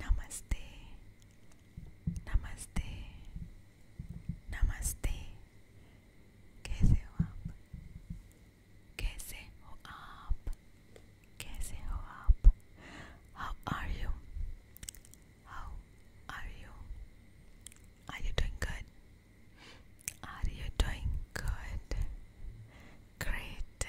Namaste, Namaste, Namaste. कैसे हो आप? कैसे हो आप? कैसे हो आप? How are you? How are you? Are you doing good? Are you doing good? Great.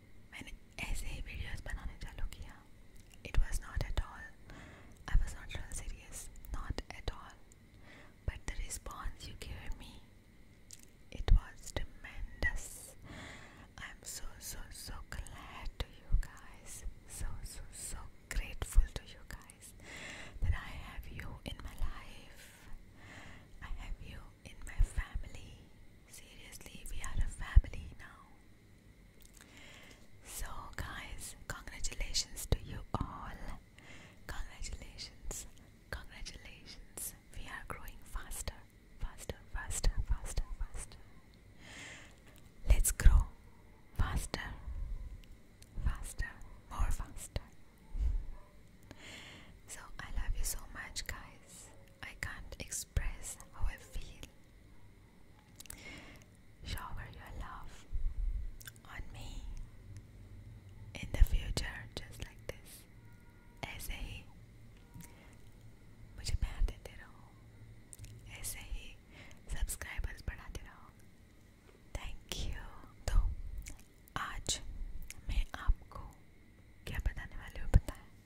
मैंने ऐसे ही वीडियोस बनाने चालू किया it was not at all I was not real serious not at all but the response you give me it was tremendous I am so so so glad to you guys so so so grateful to you guys that I have you in my life I have you in my family. Seriously, we are a family now. So, guys, congratulations to you all. Congratulations, congratulations. We are growing faster, faster, faster, faster, faster. Let's grow faster, faster, more faster. So, I love you so much, guys. I can't express express how I feel. Shower your love on me in the future, just like this. ऐसे ही मुझे प्यार देते रहो ऐसे ही subscribers बढ़ाते रहो thank you तो आज मैं आपको क्या बताने वाली हूँ बताएं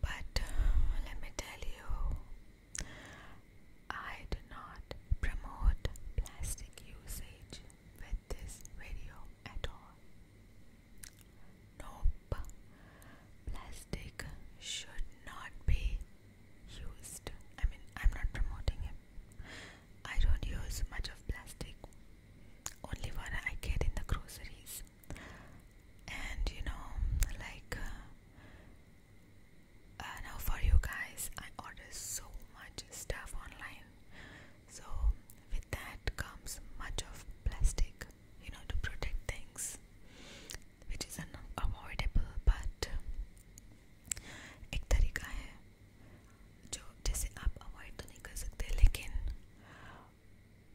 But let me tell you, I do not promote plastic usage with this video at all. Nope, plastic should not be used. I mean, I'm not promoting it. I don't use much of plastic, only when I get in the groceries and you know like uh, uh, now for you guys I order so much stuff online so with that comes much of plastic you know to protect things which is unavoidable but एक तरीका है जो जैसे आप avoid तो नहीं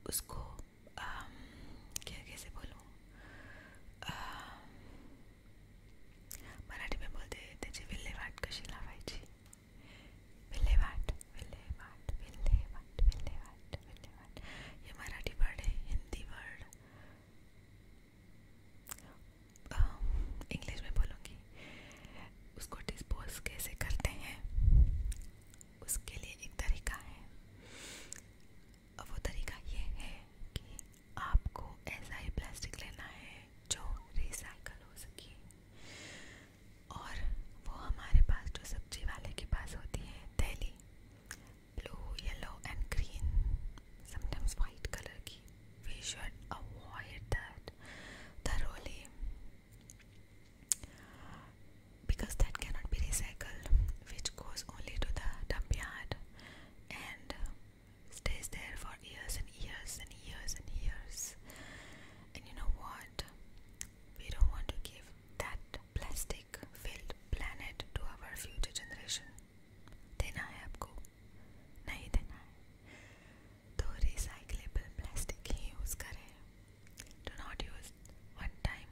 उसको um, क्या कैसे बोलूँ um, मराठी में बोलते मराठी वर्ड है हिंदी वर्ड um, इंग्लिश में बोलूँगी उसको डिस्पोज कैसे करते हैं उसके लिए एक तरीका है वो तरीका ये है कि आपको ऐसा ही प्लास्टिक लेना है जो रिसाइकल हो सके और वो हमारे पास जो सब्जी वाले के पास होती है थैली blue yellow and green sometimes white colour की we should avoid that thoroughly because that cannot be recycled, which goes only to the dump yard and uh, stays there for years and years and years and years. And you know what? We don't want to give that plastic filled planet to our future generation. देना है आपको नहीं देना है recyclable plastic use Do not use one time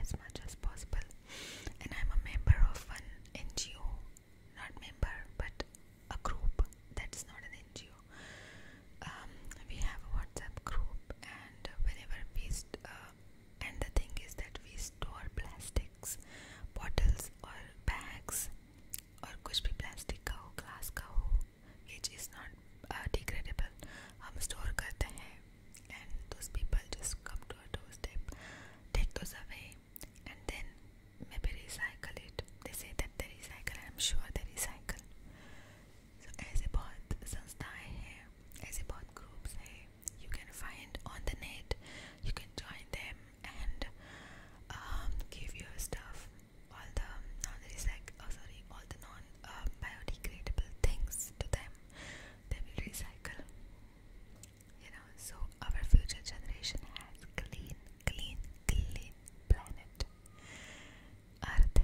as much as possible and i'm a member of an ngo not member but a group that's not an ngo um, we have a whatsapp group and whenever we uh, and the thing is that we store plastics bottles or bags or कुछ भी plastic का हो glass का हो ये चीज़ not degradable हम store करते हैं and those people just come to a doorstep, take those away, and then maybe recycle it. They say that they recycle, I'm sure they recycle. So, ऐसे बहुत संस्थाएं हैं, ऐसे बहुत groups हैं. You can find on the net. You can join them and um, give your stuff. All the non-recycle, oh sorry, all the non-biodegradable um, things to them they will recycle. You know, so our future generation has clean, clean, clean planet. Earth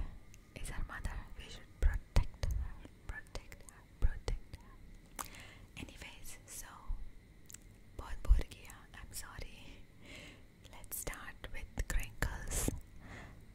is our mother. We should protect protect protect Anyways, so बहुत bore किया. I'm sorry. Let's start with crinkles.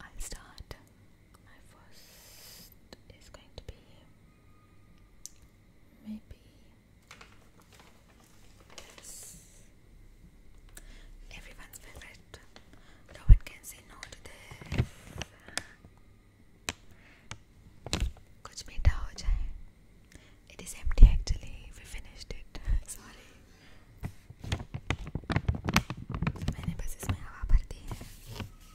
i start. My first is going to be maybe this. Everyone's favorite. No one can say no to this. कुछ मीठा हो जाए. It is empty actually. We finished it. Sorry. मैंने बस इसमें हवा भर दी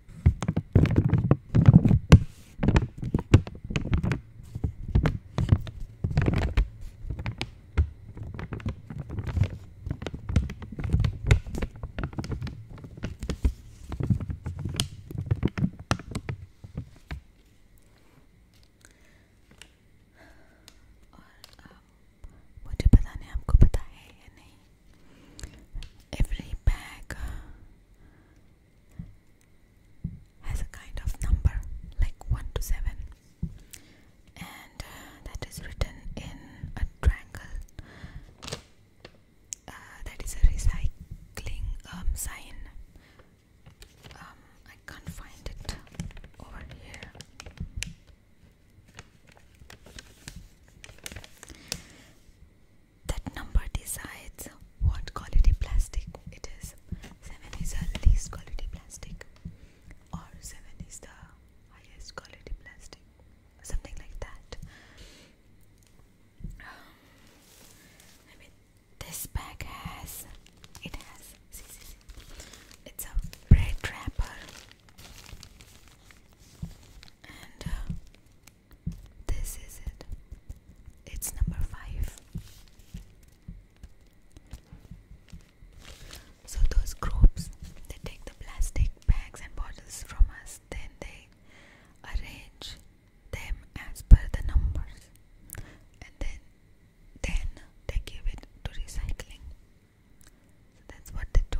और आप uh, मुझे पता नहीं आपको पता है या नहीं Every bag uh, has a kind of number like 1 to 7 and uh, that is written in a triangle uh, that is a recycling um, sign um, I can't find it over here that number decides what quality plastic it is. 7 is the least quality plastic, or 7 is the highest quality plastic, something like that. Um, maybe this bag has, it has, it's a bread wrapper uh, this is it. It's number five. So those groups they take the plastic bags and bottles from us, then they arrange them as per the numbers and then then they give it to recycling. that's what they do.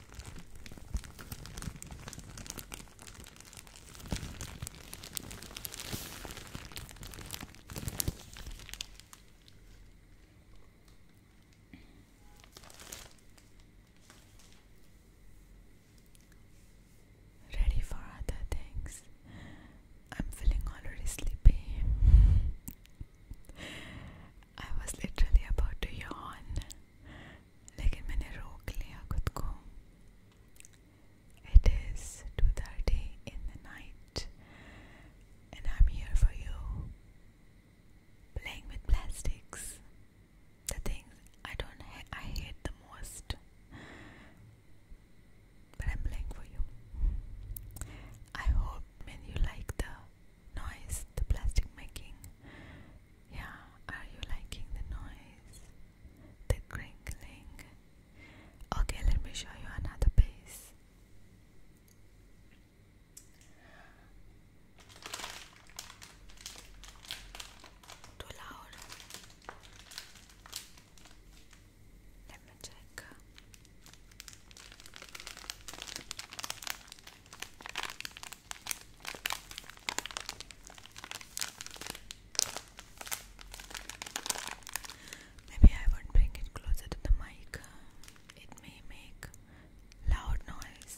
Ready for other things. I'm feeling already sleepy. I was literally about to yawn it is 2.30 in the night and I'm here for you playing with plastics the things I don't ha- I hate the most but I'm playing for you I hope you like the noise, the plastic making. Yeah, are you liking the noise? The crinkling. Okay, let me show you another piece. Too loud. Let me check. Maybe I won't bring it closer to the mic, it may make loud noise.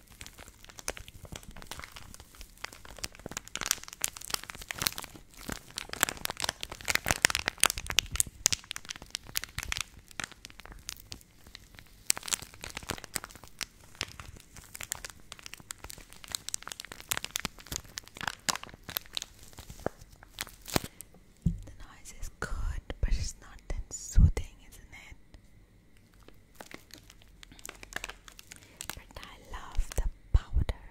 The noise is good, but it's not soothing, isn't it? But I love the powder.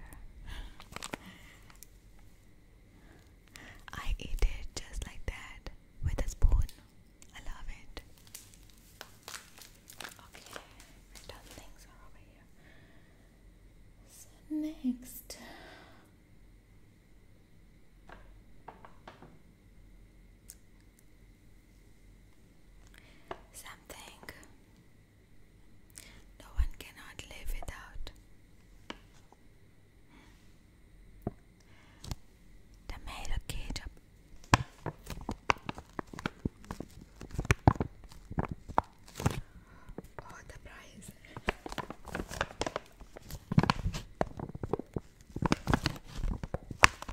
I eat it just like that with a spoon. I love it. Okay, my things are over here. So next. Something no one cannot live without. Tomato ketchup. Oh, the price.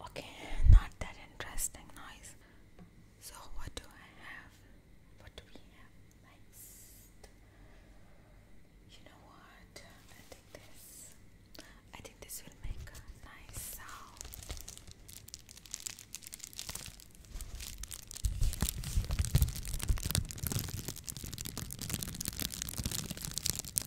Okay, not that interesting noise. So, what do I have? What do we have next? You know what? I think this. I think this will make a nice sound.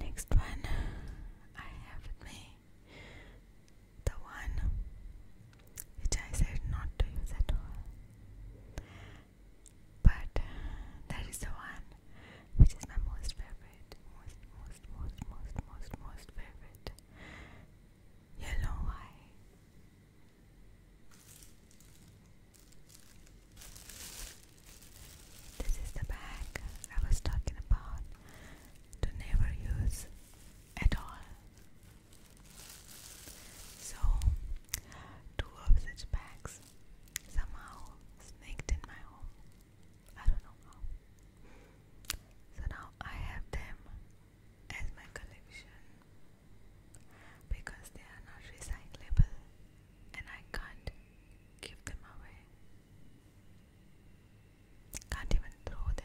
Next one I have with me the one which I said not to use at all, but that is the one which is my most favorite, most, most, most, most, most, most favorite. You know this is the bag I was talking about to never use at all. So, two of such bags somehow sneaked in my home. I don't know how. So now I have them as my collection because they are not recyclable and I can't give them away. Can't even throw them.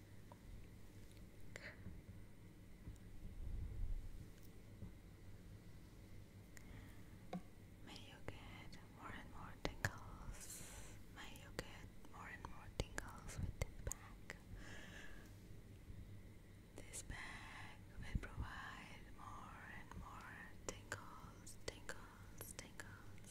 May you get more and more tingles. May you get more and more tingles with this bag. This bag will provide more and more tingles, tingles, tingles, tingles.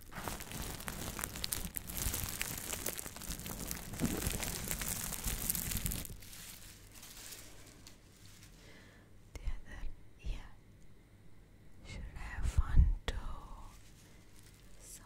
The other ear should have fun too. So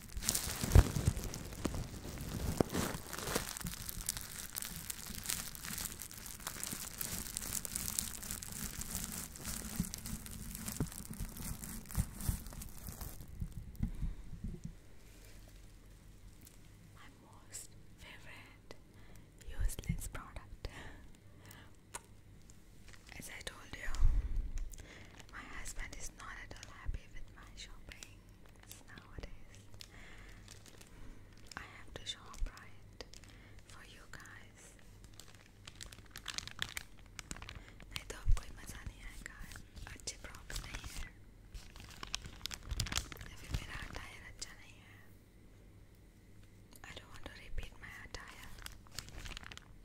My most favorite useless product. As I told you, my husband is not at all happy with my shopping nowadays. I have to shop right for you guys. नहीं तो अब कोई मज़ा नहीं आएगा अच्छे props नहीं है या मेरा अटायर अच्छा नहीं है I don't want to repeat my attire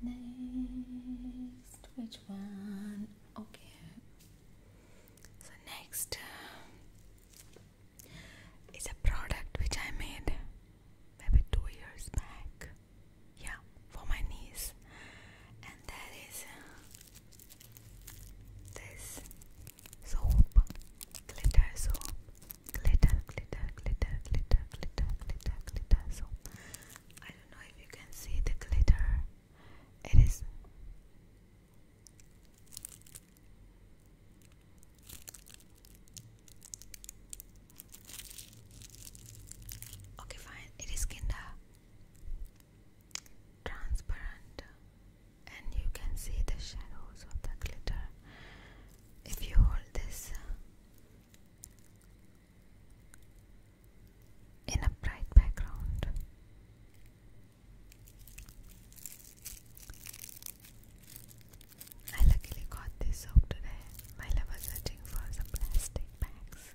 Next, which one? Okay. So next uh, is a product which I made maybe two years back. Yeah, for my niece, and that is uh, this soap, glitter soap, glitter, glitter, glitter, glitter, glitter, glitter, glitter soap. I don't know if you can see the glitter. It is okay, fine. It is kinda transparent and you can see the shadows of the glitter if you hold this uh, in a bright background. I luckily got this soap today I was searching for some plastic bags.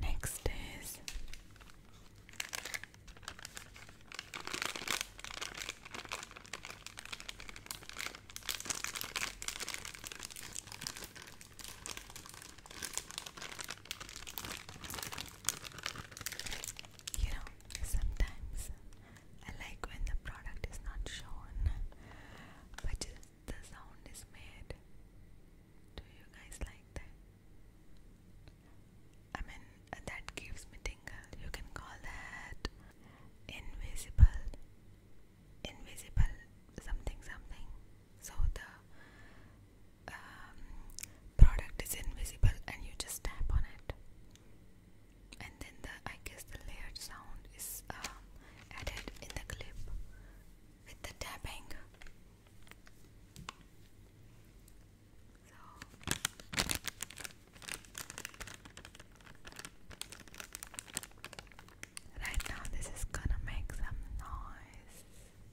Next is you know, sometimes I like when the product is not shown, but just the sound is made. Do you guys like that? I mean, uh, that gives me tingle. You can call that invisible, invisible something something. So the um, product is invisible and you just tap on it and then the I guess the layered sound is um, added in the clip with the tapping right now this is gonna make some noise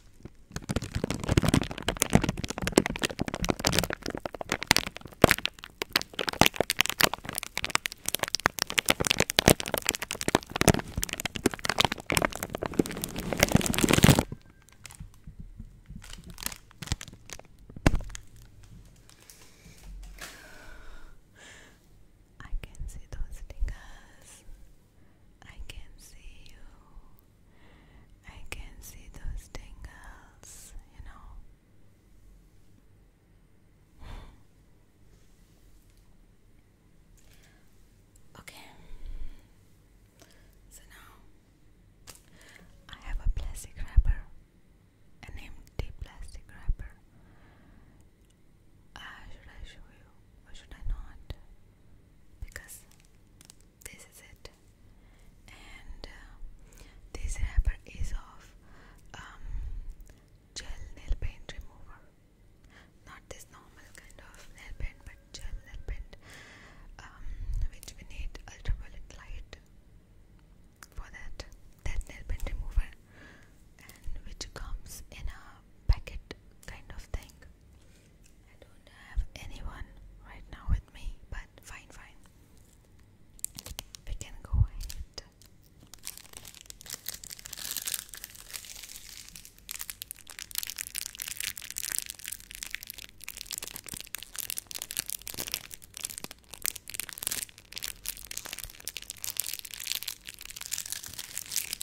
I can see those fingers. I can see you. I can see those tingles, you know. okay. So now I have a plastic wrapper, an empty plastic wrapper, Ah, should I show you or should I not? Because this is it, and uh, this wrapper is of um, gel nail paint remover, not this normal kind of nail paint, but gel nail paint, um, which we need ultraviolet light for that. That nail paint remover and which comes in a packet kind of thing. I don't have anyone right now with me, but fine, fine. We can go ahead.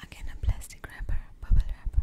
Again, a plastic wrapper, bubble wrapper.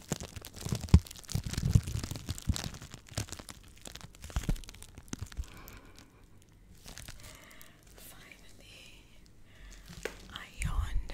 Finally, I yawned.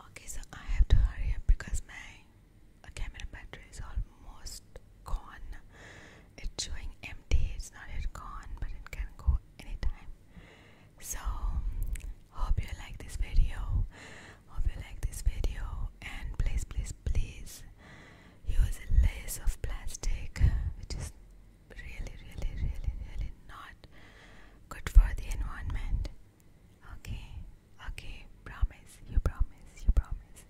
Okay, so I have to hurry up because my camera battery is almost gone. It's showing empty, it's not yet gone, but it can go anytime. So, hope you like this video. Hope you like this video, and please, please, please use less of plastic, which is really, really, really, really not good for the environment. Okay, okay, promise, you promise, you promise.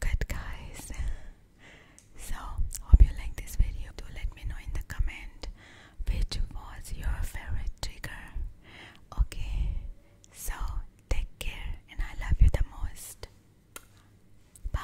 Good guys. So, hope you like this video. To let me know in the comment which was your favorite trigger. Okay, so take care and I love you the most. Bye.